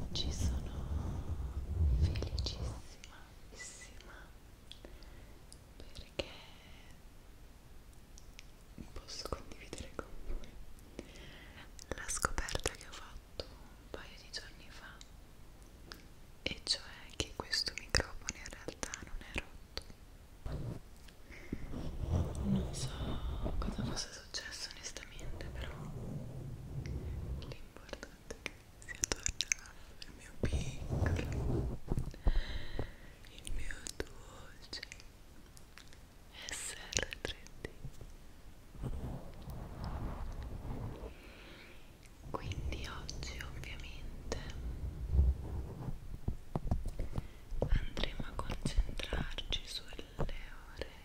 Oggi ah, sono felicissima perché posso condividere con voi la scoperta che ho fatto un paio di giorni fa e cioè che questo microfono in realtà non è rotto non so cosa fosse cosa è successo onestamente però l'importante è che sia tornato il mio piccolo il mio dolce SR3D quindi oggi ovviamente andremo a concentrarci sulle ore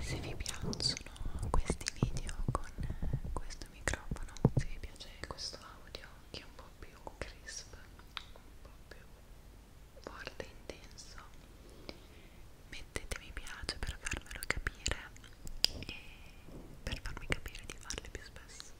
se vi piacciono questi video con questo microfono se vi piace questo audio che è un po' più crisp un po' più forte e intenso mettete mi piace per farmelo capire e per farmi capire di farle più spesso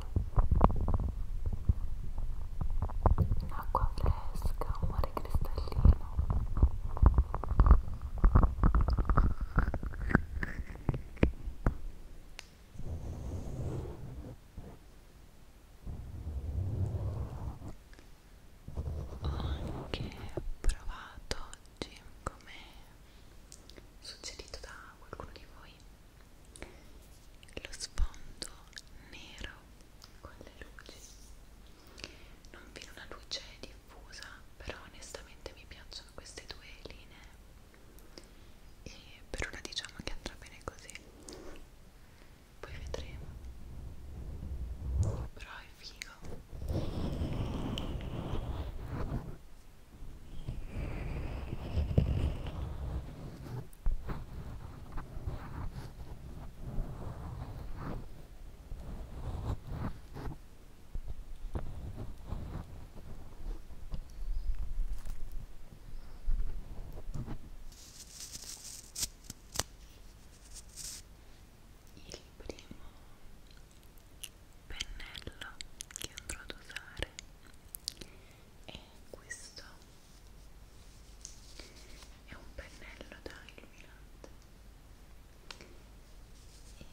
acqua un'acqua fresca, un mare cristallino ho anche provato oggi come suggerito da qualcuno di voi lo sfondo nero con le luci non viene una luce diffusa però onestamente mi piacciono queste due linee e per ora diciamo che andrà bene così poi vedremo però è figo il primo pennello che andrò ad usare è questo è un pennello da illuminante e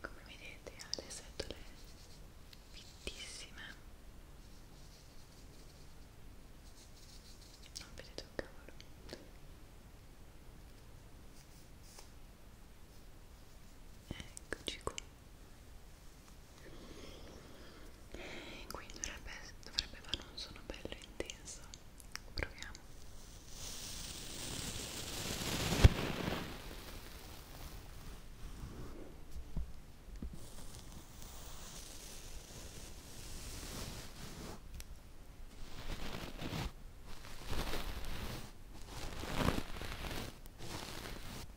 come vedete ha le setole fittissime non vedete un cavolo eccoci qua qui dovrebbe, dovrebbe fare un suono bello intenso proviamo lo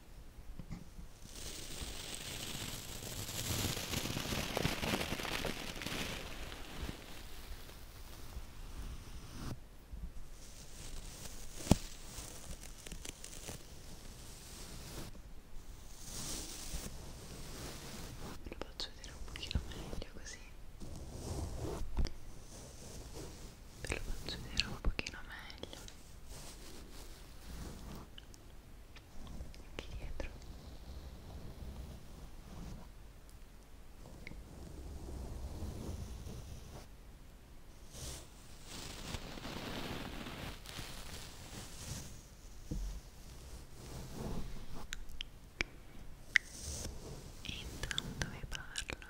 faccio vedere un pochino meglio così ve lo faccio vedere un pochino meglio anche dietro Intanto vi parlo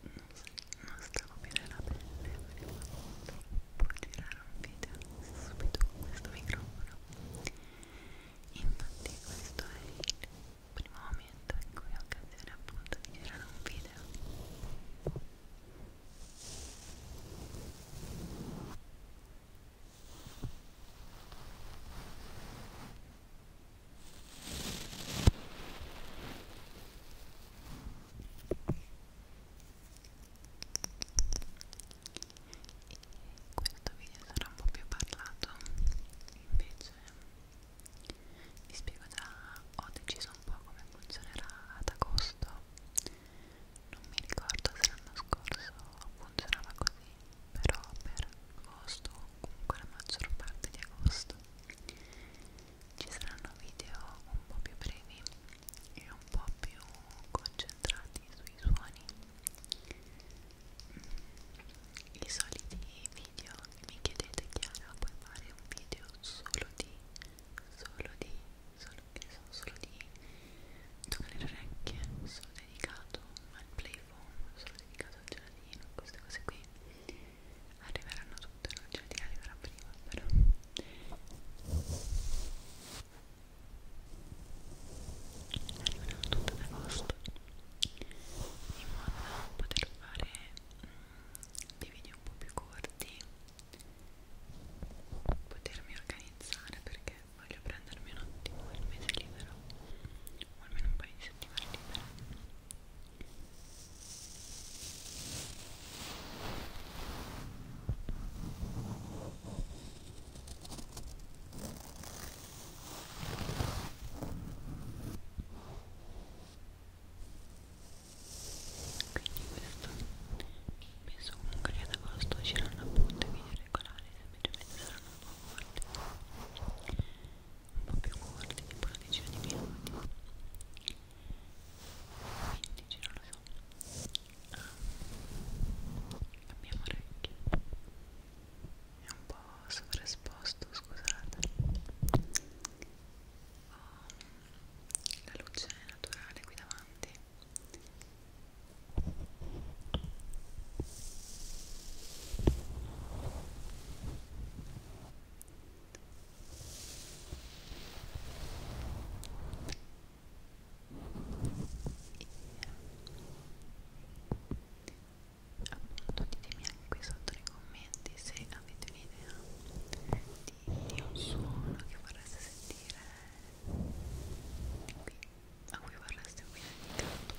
non stavo bene alla pelle volevo troppo girare un video subito con questo microfono infatti questo è il primo momento in cui ho occasione appunto di girare un video questo video sarà un po' più parlato invece vi spiego già ho deciso un po' come funzionerà ad agosto non mi ricordo se l'anno scorso funzionava così però per agosto o comunque la maggior parte di agosto ci saranno video un po' più brevi e un po' più concentrati sui suoni i soliti video mi chiedete Chiara puoi fare un video solo di solo di solo, solo di toccare le orecchie solo dedicato al play il foam, sono dedicato al gelatino, queste cose qui arriveranno tutte, non il gelatino arriverà prima però arriveranno tutte ad agosto in modo da poter fare mh, mm, dei video un po' più corti potermi organizzare perché voglio prendermi un attimo il mese libero o almeno un paio di settimane libere penso comunque che ad agosto usciranno appunto i video regolari semplicemente saranno un po' forti un po' più corti, tipo una decina di minuti 15, non lo so ah, abbiamo ah, orecchie è un po' sovraesposto, scusate oh, la luce è naturale qui davanti e appunto ditemi anche qui sotto nei commenti se avete un'idea di, di un suono che vorreste sentire qui a cui vorreste qui dedicato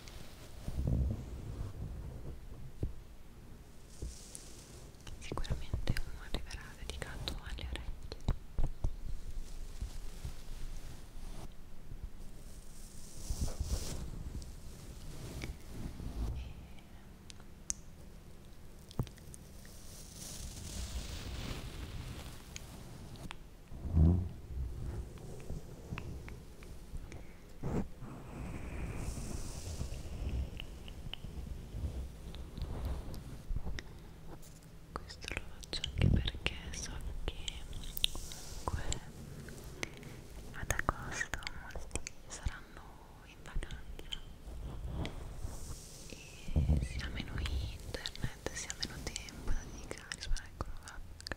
Sicuramente uno arriverà dedicato alle orecchie. E mm questo lo faccio anche perché so che comunque ad agosto molti saranno in vacanza e sia meno internet sia meno tempo da dedicare spero che proprio il suono avranno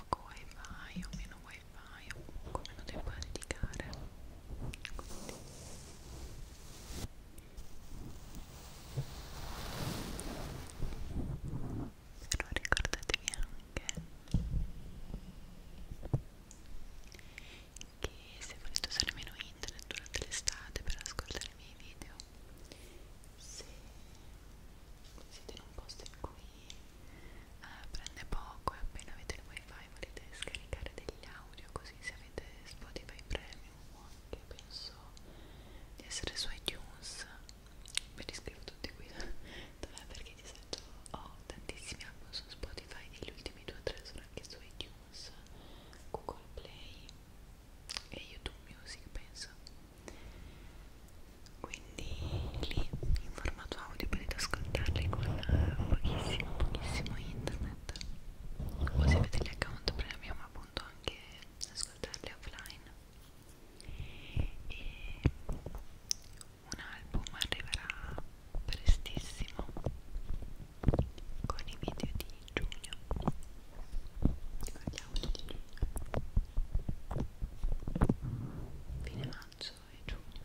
poco wifi o meno wifi wifi o comunque meno tempo da dedicare Quindi. però ricordatevi anche che se volete usare meno internet durante l'estate per ascoltare i miei video se siete in un posto in cui eh, prende poco e appena avete il wifi volete scaricare degli audio così se avete Spotify Premium o anche penso di essere su iTunes ve li scrivo tutti qui dov'è perché di solito ho tantissimi album su Spotify e gli ultimi due o tre sono anche su iTunes Google Play e YouTube Music penso qui quindi lì in formato audio potete ascoltarli con eh, pochissimo, pochissimo internet o se avete gli account premium appunto anche ascoltarli offline e un album arriverà prestissimo con i video di giugno con gli audio di giugno fine maggio e giugno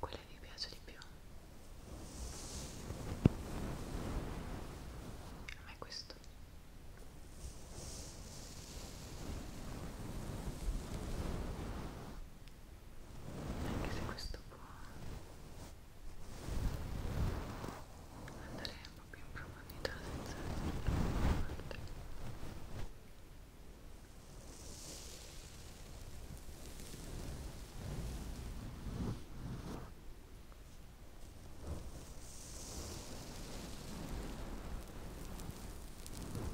Quale vi piace di più? A me questo anche se questo può andare un po' più in profondità senza essere troppo forte. Ecco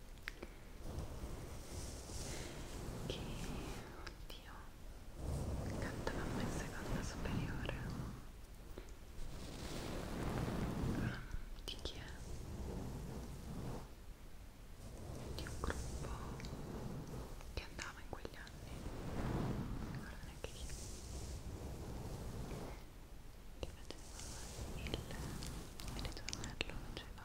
che oddio cantavamo in seconda superiore ehm, di chi è? di un gruppo che andava in quegli anni non ricordo neanche chi che vedeva il ritornello faceva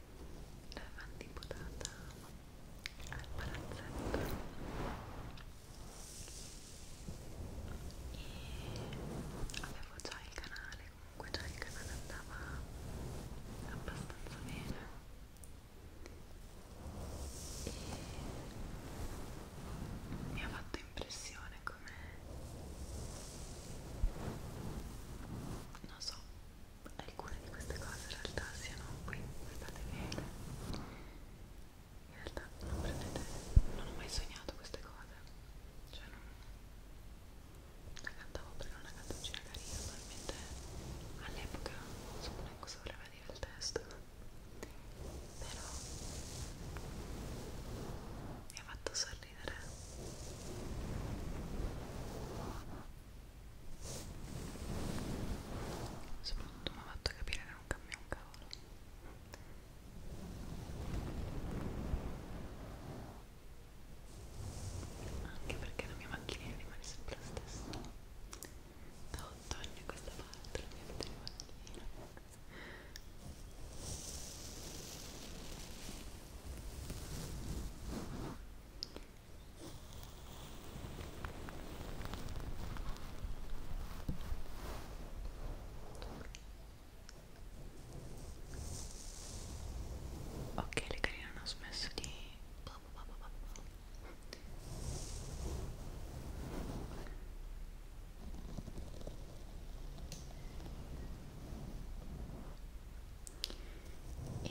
l'avevano imputata al palazzetto e avevo già il canale comunque già il canale andava abbastanza bene e mi ha fatto impressione come non so alcune di queste cose in realtà siano qui, guardate bene in realtà non prendete, non ho mai sognato queste cose cioè non la cantavo perché una canzoncina carina probabilmente all'epoca non so neanche cosa voleva dire il testo però mi ha fatto sorridere soprattutto mi ha fatto capire che non cambia un cavolo anche perché la mia macchinina rimane sempre la stessa da 8 anni a questa parte la mia vita macchina Ok, le carine hanno smesso di e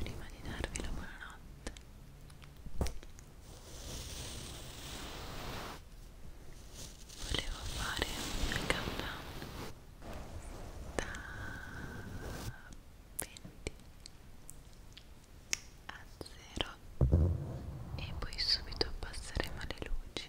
prima di darvi la buonanotte volevo fare un countdown da 20 a 0 e poi subito passeremo alle luci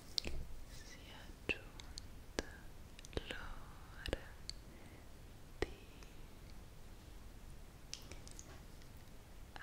si è giunta l'ora di abbassare le luci e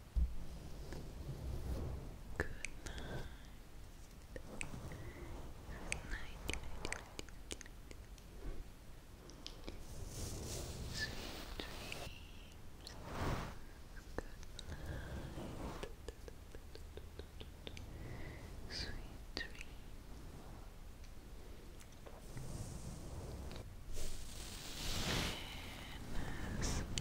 Good night. Good night. Sweet dreams. Good night. Sweet dreams. And,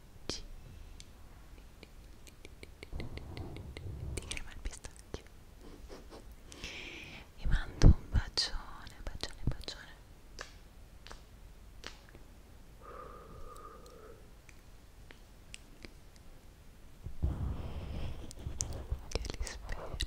G di crema al pistacchio vi mando un bacione bacione bacione che li spero